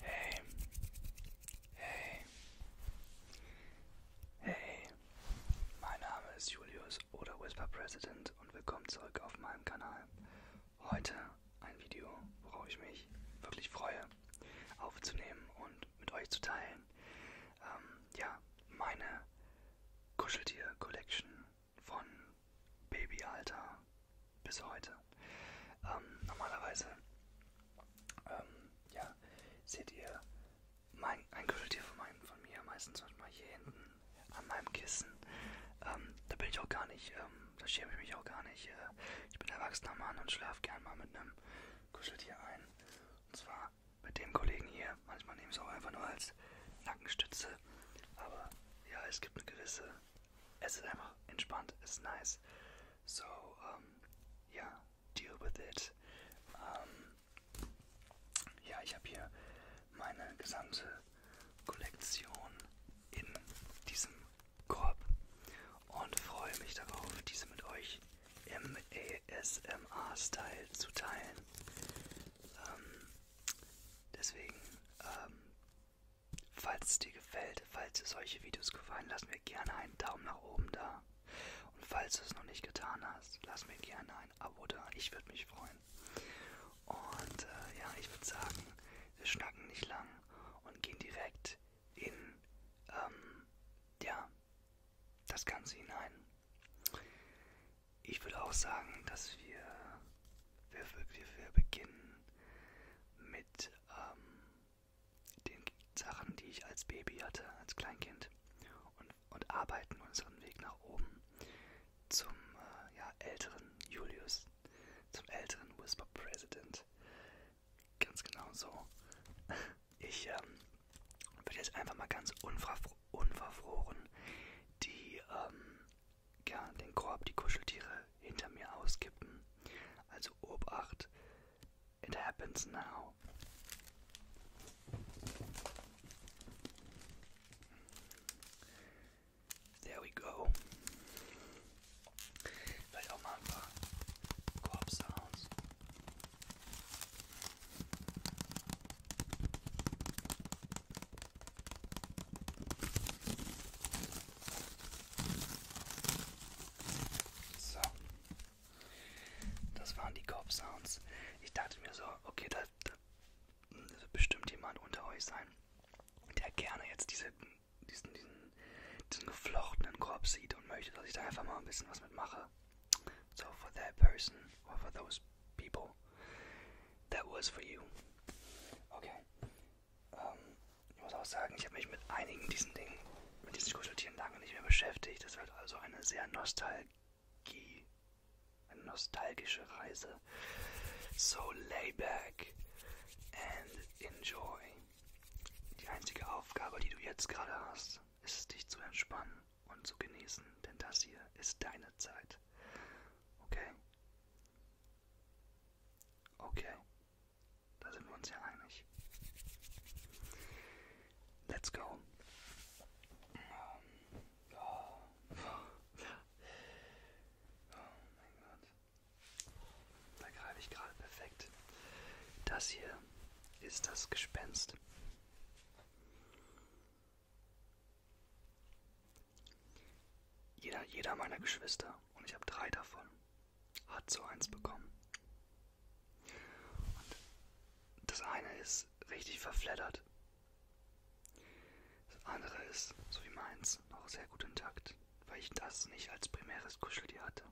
Hey. Hey. Hey. Mein Name ist Julius oder Whisper President und willkommen zurück auf meinem Kanal. Heute ein Video, worauf ich mich wirklich freue, aufzunehmen und mit euch zu teilen. Ähm, ja, meine Kuscheltier-Collection von Babyalter bis heute. Ähm, normalerweise ähm, ja, seht ihr mein, ein Kuscheltier von, mein, von mir meistens manchmal hier hinten an meinem Kissen. Ähm, da bin ich auch gar nicht, ähm, da schäme ich mich auch gar nicht. Äh, ich bin erwachsener Mann und schlafe gern mal mit einem Kuscheltier ein. Und zwar mit dem Kollegen hier. Manchmal nehme ich es auch einfach nur als Nackenstütze. Aber ja, es gibt eine gewisse es ist einfach entspannt, es ist nice. So, um, ähm, ja, deal with it. Um, ähm, ja, ich habe hier meine gesamte Kollektion in diesem Korb und freue mich darauf, diese mit euch im ASMR-Style zu teilen. Ähm, deswegen ähm, Falls es dir gefällt, falls dir solche Videos gefallen, lass mir gerne einen Daumen nach oben da. Und falls du es noch nicht getan hast, lass mir gerne ein Abo da. Ich würde mich freuen. Und äh, ja, ich würde sagen, wir schnacken nicht lang und gehen direkt in ähm, ja, das Ganze hinein ich würde auch sagen, dass wir, wir, wir, wir beginnen mit ähm, den Sachen, die ich als Baby hatte, als Kleinkind und, und arbeiten unseren Weg nach oben zum äh, ja, älteren Julius, zum älteren Whisper President. Ganz genau so. Ich ähm, würde jetzt einfach mal ganz unverfroren die ähm, gern den Korb die Kuscheltiere hinter mir auskippen. Also Obacht, it happens now. There we go. Vielleicht auch mal ein paar Korb-Sounds. So. Das waren die Corp Sounds. Ich dachte mir so, okay, da, da wird bestimmt jemand unter euch sein, der gerne jetzt diese, diesen, diesen, diesen geflochtenen Korb sieht und möchte, dass ich da einfach mal ein bisschen was mitmache. So, for that person, or for those people, that was for you. Okay. Ähm, ich muss auch sagen, ich habe mich mit einigen diesen Dingen, mit diesen Kuscheltieren lange nicht mehr beschäftigt. Das wird halt also eine sehr Nostalgie, eine nostalgische Reise. So lay back and enjoy. Die einzige Aufgabe, die du jetzt gerade hast, ist dich zu entspannen und zu genießen, denn das hier ist deine Zeit. Okay? Okay, da sind wir uns ja einig. Let's go. Da greife ich gerade perfekt. Das hier ist das Gespenst. Jeder, jeder meiner Geschwister, und ich habe drei davon, hat so eins bekommen. Und das eine ist richtig verfleddert. Das andere ist, so wie meins, noch sehr gut intakt, weil ich das nicht als primäres Kuscheltier hatte.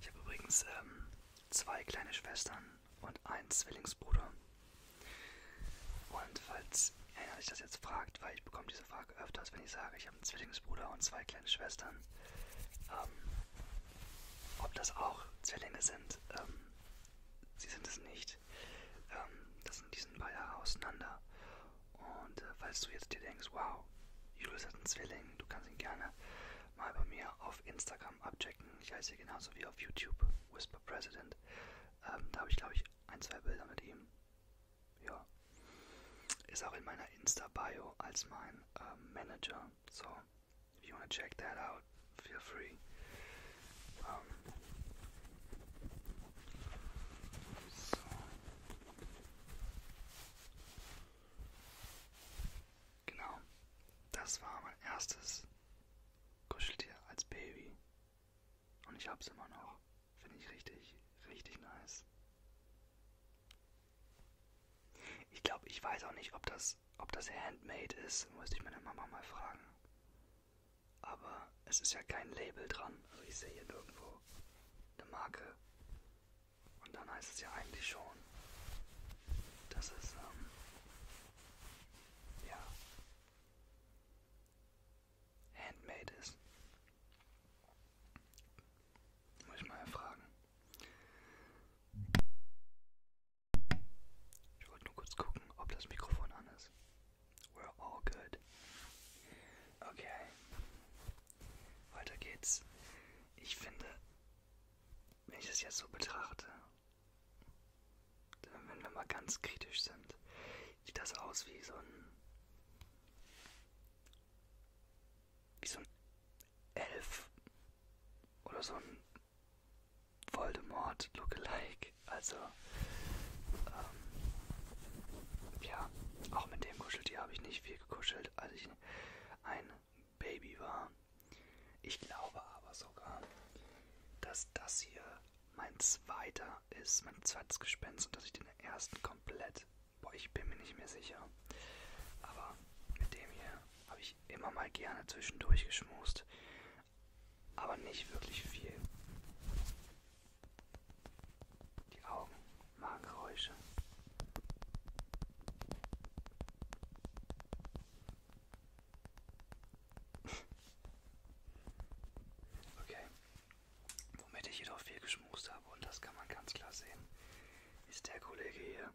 Ich habe übrigens ähm, zwei kleine Schwestern, und einen Zwillingsbruder. Und falls einer sich das jetzt fragt, weil ich bekomme diese Frage öfters, wenn ich sage, ich habe einen Zwillingsbruder und zwei kleine Schwestern, ähm, ob das auch Zwillinge sind, ähm, sie sind es nicht. Ähm, das sind diesen paar Jahre auseinander. Und äh, falls du jetzt dir denkst, wow, Julius hat einen Zwilling, du kannst ihn gerne mal bei mir auf Instagram Instagram abchecken. Ich heiße genauso wie auf YouTube Whisper President. Ähm, da habe ich, glaube ich, ein, zwei Bilder mit ihm. Ja. Ist auch in meiner Insta-Bio als mein ähm, Manager. So, if you wanna check that out, feel free. Ähm, so. Genau. Das war mein erstes Kuscheltier als Baby. Und ich hab's immer noch. Finde ich richtig, richtig nice. Ich glaube, ich weiß auch nicht, ob das, ob das handmade ist. Müsste ich meine Mama mal fragen. Aber es ist ja kein Label dran. Also ich sehe hier irgendwo eine Marke. Und dann heißt es ja eigentlich schon, dass es ähm, ja, handmade ist. Muss ich mal erfragen. Ich wollte nur kurz gucken, ob das Mikrofon an ist. We're all good. Okay. Weiter geht's. Ich finde, wenn ich das jetzt so betrachte, wenn wir mal ganz kritisch sind, sieht das aus wie so ein wie so ein Elf oder so ein Voldemort Lookalike. Also ähm, ja, auch mit dem Kuscheltier habe ich nicht viel gekuschelt. Also ich, ein Baby war. Ich glaube aber sogar, dass das hier mein zweiter ist, mein zweites Gespenst und dass ich den ersten komplett. Boah, ich bin mir nicht mehr sicher. Aber mit dem hier habe ich immer mal gerne zwischendurch geschmust. Aber nicht wirklich viel. Die Augen machen Geräusche. Okay. Womit ich jedoch viel geschmust habe, und das kann man ganz klar sehen, ist der Kollege hier.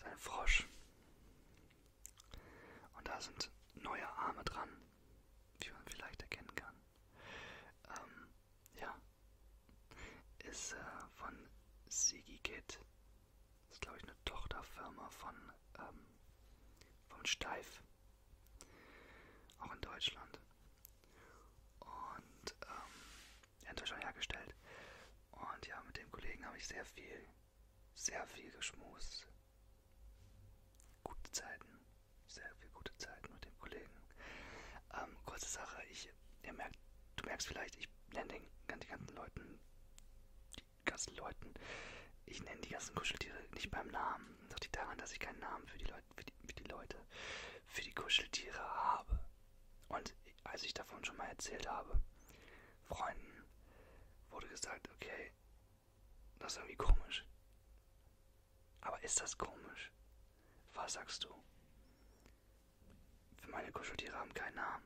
Sein Frosch. Und da sind neue Arme dran, wie man vielleicht erkennen kann. Ähm, ja. Ist äh, von Sigi Kid das ist, glaube ich, eine Tochterfirma von ähm, vom Steif. Auch in Deutschland. Und ähm, ja, in Deutschland hergestellt. Und ja, mit dem Kollegen habe ich sehr viel, sehr viel geschmust. Gute Zeiten. Sehr viel gute Zeiten mit dem Kollegen. Ähm, kurze Sache, ich ich, ihr merkt, du merkst vielleicht, ich nenne den, den ganzen Leuten, die ganzen Leuten, ich nenne die ganzen Kuscheltiere nicht beim Namen. Das liegt daran, dass ich keinen Namen für die, Leut, für die, für die Leute, für die Kuscheltiere habe. Und als ich davon schon mal erzählt habe, Freunden wurde gesagt, okay, das ist irgendwie komisch. Aber ist das komisch? Was sagst du? Für meine Kuscheltiere haben keinen Namen.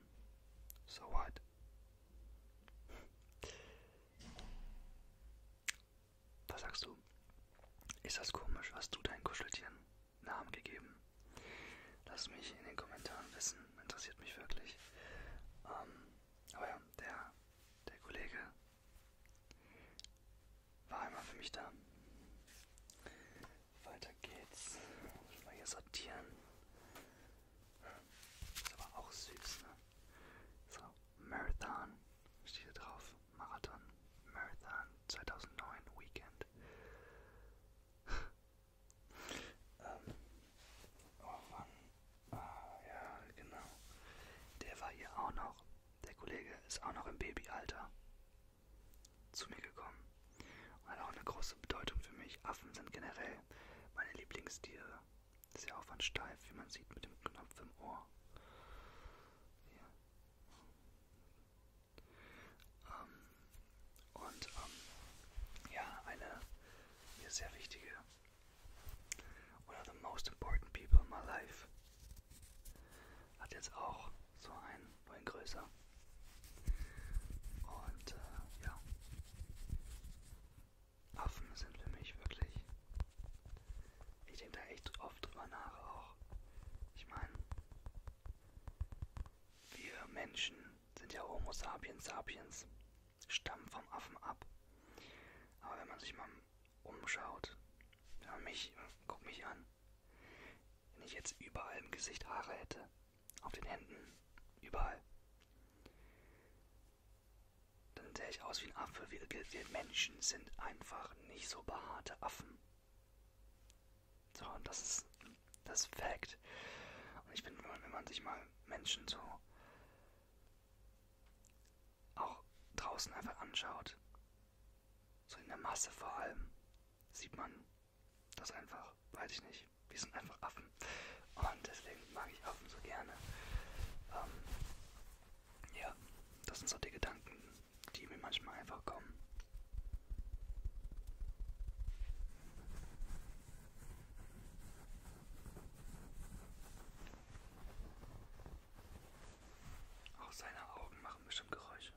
So what? Was sagst du? Ist das komisch? Hast du deinen Kuscheltieren Namen gegeben? Lass mich in den Kommentaren wissen. Interessiert mich wirklich. Ähm, aber ja, der, der Kollege war einmal für mich da. Weiter geht's. Muss mal hier sortieren. Hm. Ist aber auch süß, ne? So, Marathon. Steht hier drauf. Marathon. Marathon 2009 Weekend. ähm. Oh Mann. Ah, ja, genau. Der war hier auch noch. Der Kollege ist auch noch im Babyalter zu mir gekommen und hat auch eine große Bedeutung für mich. Affen sind generell meine Lieblingstiere. Sehr aufwandsteif, wie man sieht, mit dem Knopf im Ohr. Ja. Ähm, und ähm, ja, eine mir sehr wichtige, one of the most important people in my life, hat jetzt auch so einen, nur in größer. Und äh, ja, Affen sind für mich wirklich, ich denke da echt oft drüber nach auch. Ich meine, wir Menschen sind ja Homo sapiens sapiens, stammen vom Affen ab. Aber wenn man sich mal umschaut, ja, mich, guck mich an. Wenn ich jetzt überall im Gesicht Haare hätte. Auf den Händen. Überall. Dann sähe ich aus wie ein Affe. Wir, wir Menschen sind einfach nicht so behaarte Affen. So, und das ist das ist Fact. Und ich finde, wenn man sich mal Menschen so auch draußen einfach anschaut, so in der Masse vor allem, sieht man, das einfach, weiß ich nicht. Wir sind einfach Affen. Und deswegen mag ich Affen so gerne. Ähm, ja, das sind so die Gedanken, die mir manchmal einfach kommen. Auch seine Augen machen bestimmt Geräusche.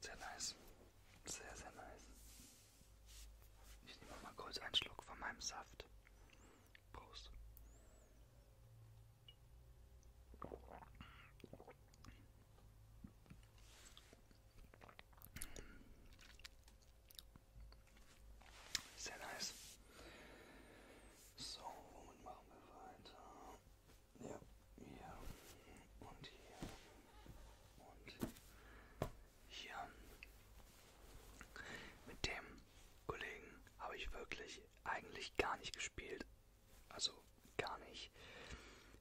Sehr nice. Sehr, sehr nice. Ich nehme mal kurz einen Schluck von meinem Saft. Prost. Sehr nice. So, womit machen wir weiter? Ja, hier und hier und hier. Mit dem Kollegen habe ich wirklich eigentlich gar nicht gespielt. Also gar nicht.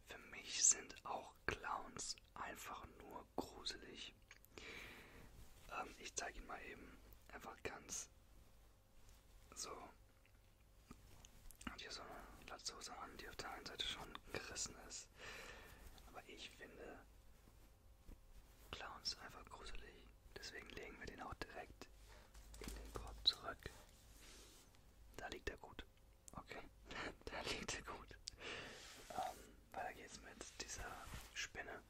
Für mich sind auch Clowns einfach nur gruselig. Ähm, ich zeige ihn mal eben einfach ganz so und hier so eine Latzhose an, die auf der einen Seite schon gerissen ist. Aber ich finde Clowns einfach gruselig. Deswegen legen wir den auch direkt in den Korb zurück. Da liegt er gut. Okay, da liegt er gut. Ähm, weiter geht's mit dieser Spinne.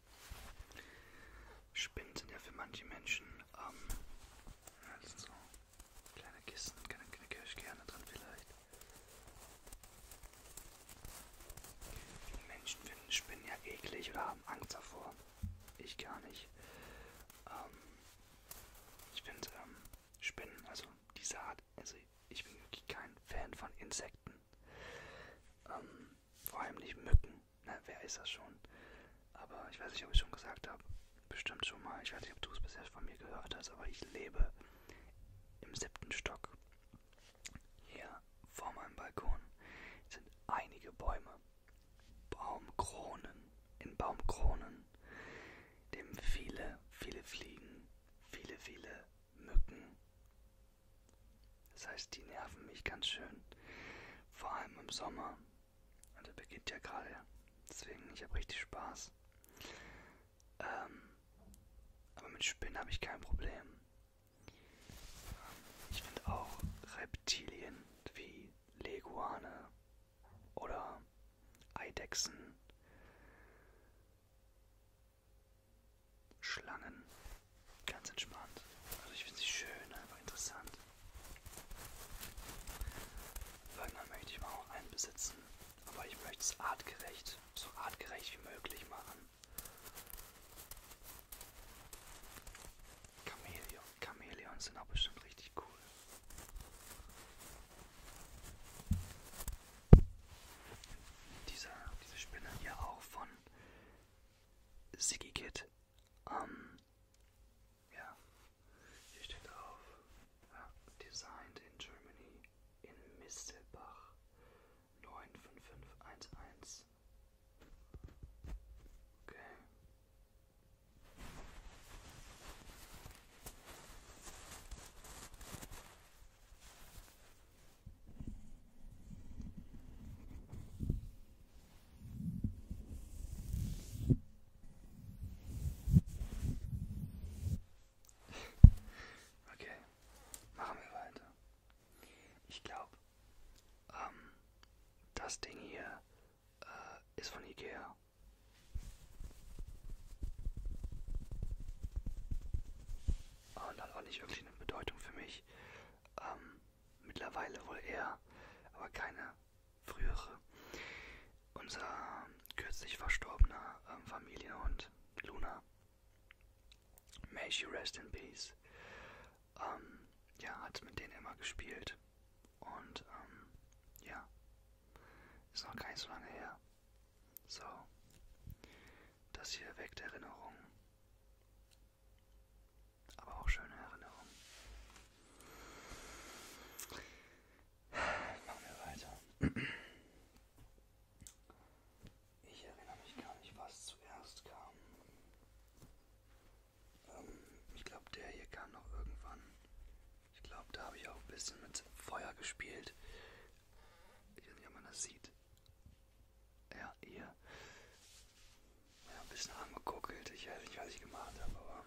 Spinnen sind ja für manche Menschen ähm, ja, so Kleine Kissen, kleine Kirschkerne drin vielleicht. Viele Menschen finden Spinnen ja eklig oder haben Angst davor. Ich gar nicht. Ähm, ich finde ähm, Spinnen, also diese Art, also ich bin wirklich kein Fan von Insekten. Ähm, vor allem nicht Mücken. Na, ne, wer ist das schon? Aber ich weiß nicht, ob ich schon gesagt habe. Bestimmt schon mal. Ich weiß nicht, ob du es bisher von mir gehört hast, aber ich lebe im siebten Stock. Hier vor meinem Balkon sind einige Bäume. Baumkronen. In Baumkronen. Dem viele, viele Fliegen, viele, viele Mücken. Das heißt, die nerven mich ganz schön. Vor allem im Sommer und der beginnt ja gerade. Deswegen, ich habe richtig Spaß. Ähm, aber mit Spinnen habe ich kein Problem. Ähm, ich finde auch Reptilien wie Leguane oder Eidechsen, Schlangen, ganz entspannt. Also ich finde sie schön, einfach interessant. Irgendwann möchte ich mal auch einen besitzen, aber ich möchte es artgerecht, so artgerecht wie möglich machen. Chamäleon, Chamäleons sind auch bestimmt richtig cool. Diese, diese Spinne hier auch von Siggy Kid um, ja, hier steht auf. Ja, designed in Germany in Mistelbach 95511. Okay. Okay, machen wir weiter. Ich glaube, ähm, das Ding hier äh, ist von Ikea. Und hat auch nicht wirklich eine Bedeutung für mich. Ähm, mittlerweile wohl eher, aber keine frühere, unser kürzlich verstorbener ähm, Familienhund Luna. May she rest in peace. Ähm, ja, hat mit denen immer gespielt. Und ähm, ja, ist noch gar nicht so lange her. So, das hier weckt Erinnerungen aber auch schöne Erinnerungen. Machen wir weiter. Ich erinnere mich gar nicht, was zuerst kam. Ähm, ich glaube, der hier kam noch irgendwann. Ich glaube, da habe ich auch ein bisschen mit Feuer gespielt. Ich weiß nicht, ob man das sieht. Ja, hier. Ja, ein bisschen angekuckelt. Ich weiß nicht, was ich gemacht habe, aber.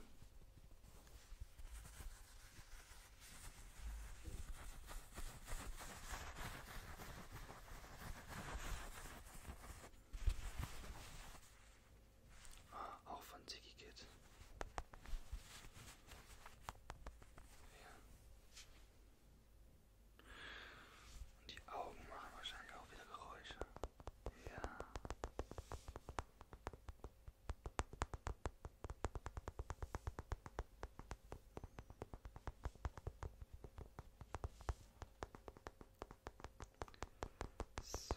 Ah, auch von Ziggy Kid. Ja. Und die Augen machen wahrscheinlich auch wieder Geräusche. Ja. So.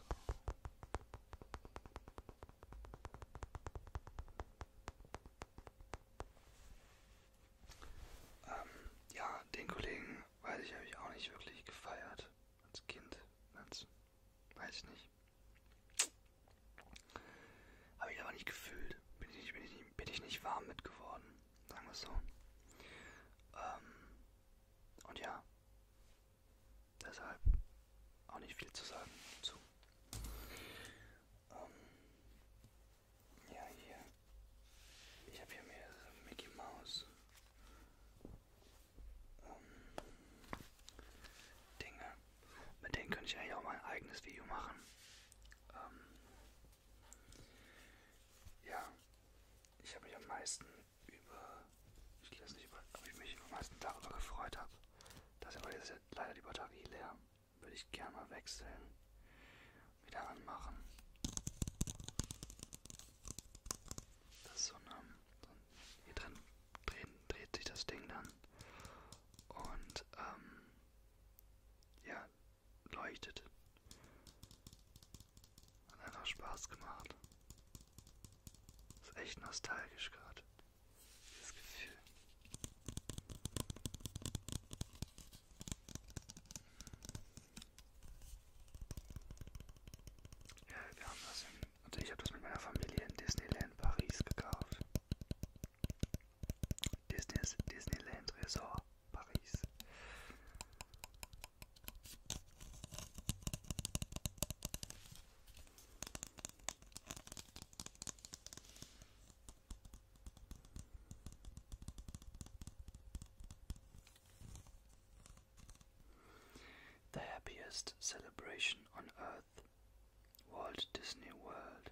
Ähm, ja, den Kollegen weiß ich, habe ich auch nicht wirklich gefeiert als Kind, als, weiß ich nicht. Habe ich aber nicht gefühlt. Bin ich nicht, bin ich nicht, bin ich nicht warm mit geworden, sagen wir es so. Ähm, und ja, deshalb auch nicht viel zu sagen zu. Ähm, ja, hier. Ich habe hier mehrere Mickey Mouse ähm, Dinge. Mit denen könnte ich eigentlich auch mal ein eigenes Video machen. Ähm, ja, ich habe mich am meisten über, ich weiß nicht, über, ob ich mich am meisten darüber gefreut habe. Das ist aber jetzt leider die Batterie leer. Würde ich gerne mal wechseln. Wieder anmachen. Das ist so eine. Hier drin dreht, dreht sich das Ding dann. Und, ähm. Ja, leuchtet. Hat einfach Spaß gemacht. Ist echt nostalgisch gerade. Dieses Gefühl. Ja, wir haben das in, also ich habe das mit meiner Familie in Disneyland Paris gekauft. Disney's, Disneyland Resort Paris. The happiest celebration on earth, Walt Disney World.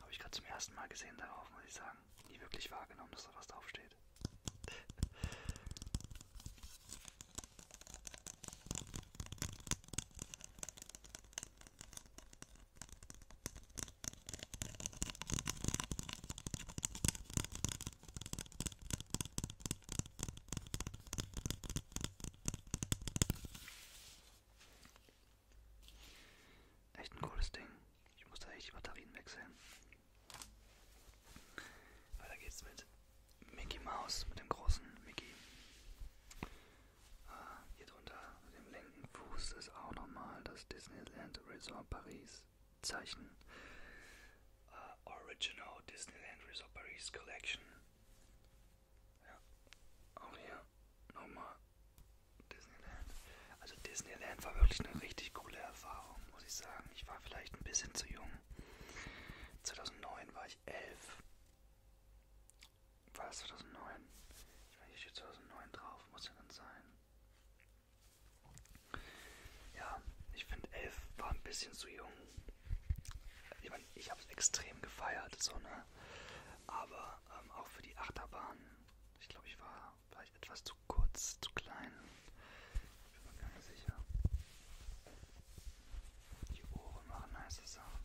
Habe ich gerade zum ersten Mal gesehen darauf, muss ich sagen. Nie wirklich wahrgenommen, dass da was draufsteht. Echt ein cooles Ding. Ich muss da echt die Batterien wechseln. Weiter geht's mit Mickey Mouse, mit dem großen Mickey. Ah, hier drunter auf dem linken Fuß ist auch nochmal das Disneyland Resort Paris Zeichen. Uh, Original Disneyland Resort Paris Collection. Ja, auch hier nochmal Disneyland. Also Disneyland war wirklich eine richtig coole Erfahrung, muss ich sagen. Ich war vielleicht ein bisschen zu jung. 2009 war ich elf. War es 2009? Ich meine, hier steht 2009 drauf, muss ja dann sein. Ja, ich finde elf war ein bisschen zu jung. Ich meine, ich habe es extrem gefeiert, so ne. Aber ähm, auch für die Achterbahn, ich glaube, ich war vielleicht etwas zu kurz, zu klein. Ich bin mir gar nicht sicher. Die Ohren machen nice Sachen.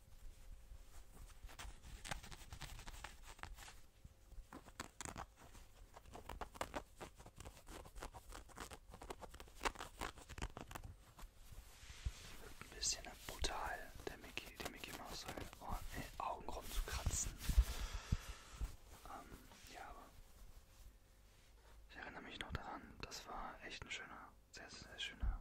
Ein bisschen brutal, der Mickey, die Mickey Maus seine oh, äh, Augen rumzukratzen. Ähm, ja, aber ich erinnere mich noch daran, das war echt ein schöner, sehr, sehr schöner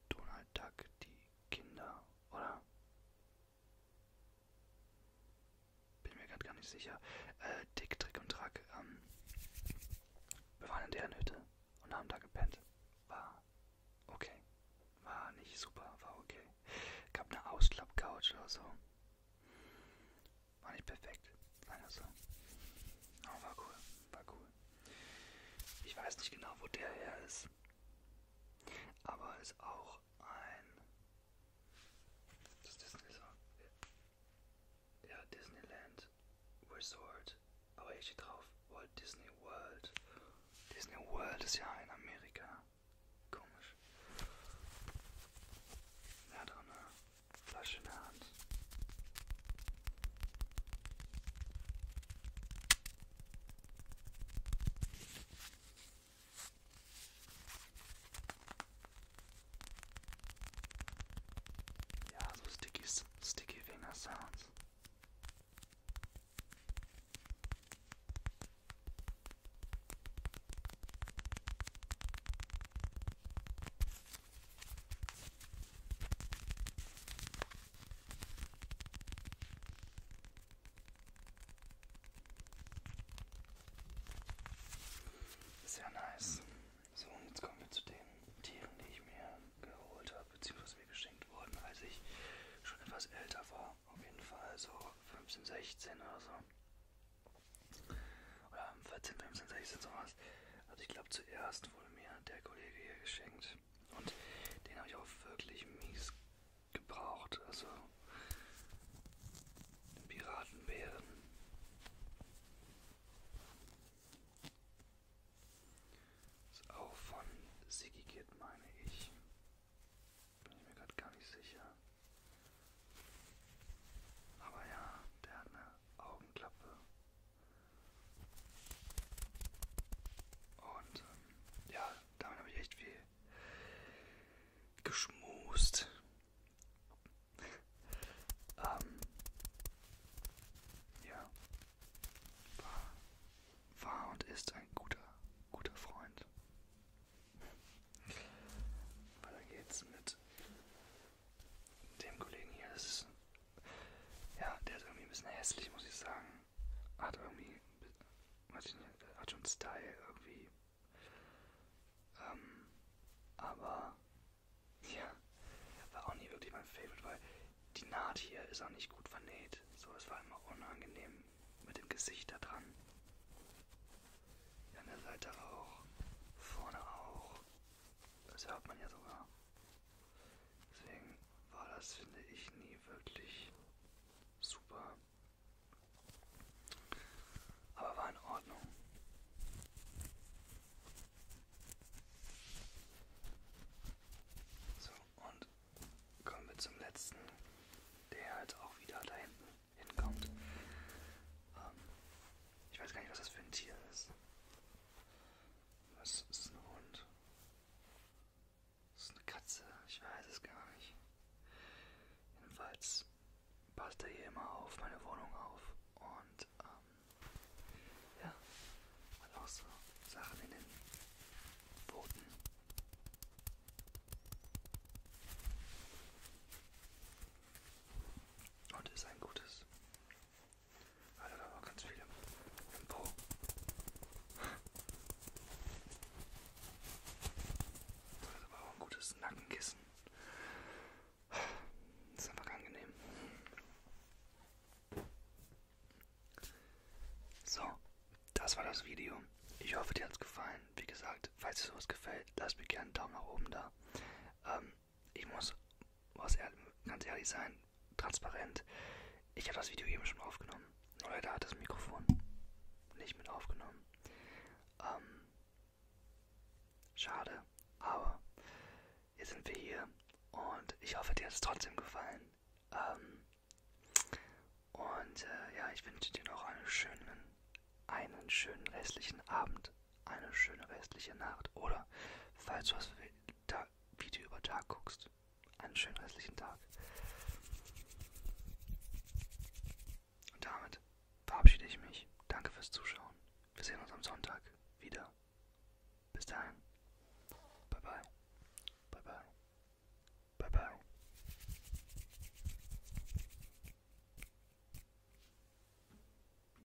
Donald Duck die Kinder, oder? Bin mir gerade gar nicht sicher. Äh, Dick, Trick und Track. Ähm, wir waren in deren Hütte und haben da gepennt. War okay. War nicht super, war okay. Gab eine Ausklappcouch oder so. War nicht perfekt, leider so. Also, aber war cool, war cool. Ich weiß nicht genau, wo der her ist. Aber ist auch ein. Das Disney so. Ja, Disneyland Resort. Aber hier steht drauf Walt Disney World. Disney World ist ja in Amerika. Komisch. Er hat auch eine Flasche in der Hand. Yeah, so sticky, sticky finger sounds. Sehr nice. So, und jetzt kommen wir zu den Tieren, die ich mir geholt habe, beziehungsweise mir geschenkt wurden, als ich schon etwas älter war. Auf jeden Fall so 15, 16 oder so. Oder 14, 15, 16, sowas. Also ich glaube zuerst wurde mir der Kollege hier geschenkt. Und den habe ich auch wirklich mies gebraucht. Also den Piratenbären. Ist auch von Siggy Kid, meine ich. Bin ich mir gerade gar nicht sicher. Aber ja, der hat eine Augenklappe. Und ähm, ja, damit habe ich echt viel geschmust. ähm, ja, war, war und ist ein guter, guter Freund. Weiter geht's mit dem Kollegen hier, das ist, ja, der ist irgendwie ein bisschen hässlich, muss ich sagen. Hat irgendwie, weiß ich nicht, hat schon Style irgendwie. Ähm, aber, ja, war auch nie wirklich mein Favorite, weil die Naht hier ist auch nicht gut vernäht. So, es war immer unangenehm mit dem Gesicht da dran. An der Seite auch, vorne auch. Das hört man ja sogar. Deswegen war das, finde ich, nie wirklich super. Aber war in Ordnung. So, und kommen wir zum letzten, der halt auch wieder da hinten hinkommt. Ähm, ich weiß gar nicht, was das für ein Tier ist. Was ist ein Hund? Das ist eine Katze, ich weiß es gar nicht. Jedenfalls passt er hier immer auf meine Wohnung auf und ähm, ja, hat auch so Sachen in den Pfoten. Und ist ein gutes also da war ganz viel im, im Po. Das ist aber auch ein gutes Nackenkissen. Das ist einfach angenehm. So, das war das Video. Ich hoffe, dir hat es gefallen. Wie gesagt, falls dir sowas gefällt, lass mir gerne einen Daumen nach oben da. Ähm, ich muss was ehrlich, ganz ehrlich sein, transparent. Ich habe das Video eben schon aufgenommen. Nur leider hat das Mikrofon nicht mit aufgenommen. Ähm, schade, aber jetzt sind wir hier und ich hoffe, dir hat es trotzdem gefallen. Ähm, und äh, ja, ich wünsche dir noch einen schönen, einen schönen restlichen Abend eine schöne restliche Nacht. Oder falls du das Video über Tag guckst, einen schönen restlichen Tag. Und damit verabschiede ich mich. Danke fürs Zuschauen. Wir sehen uns am Sonntag wieder. Bis dahin. Bye bye. Bye bye. Bye bye.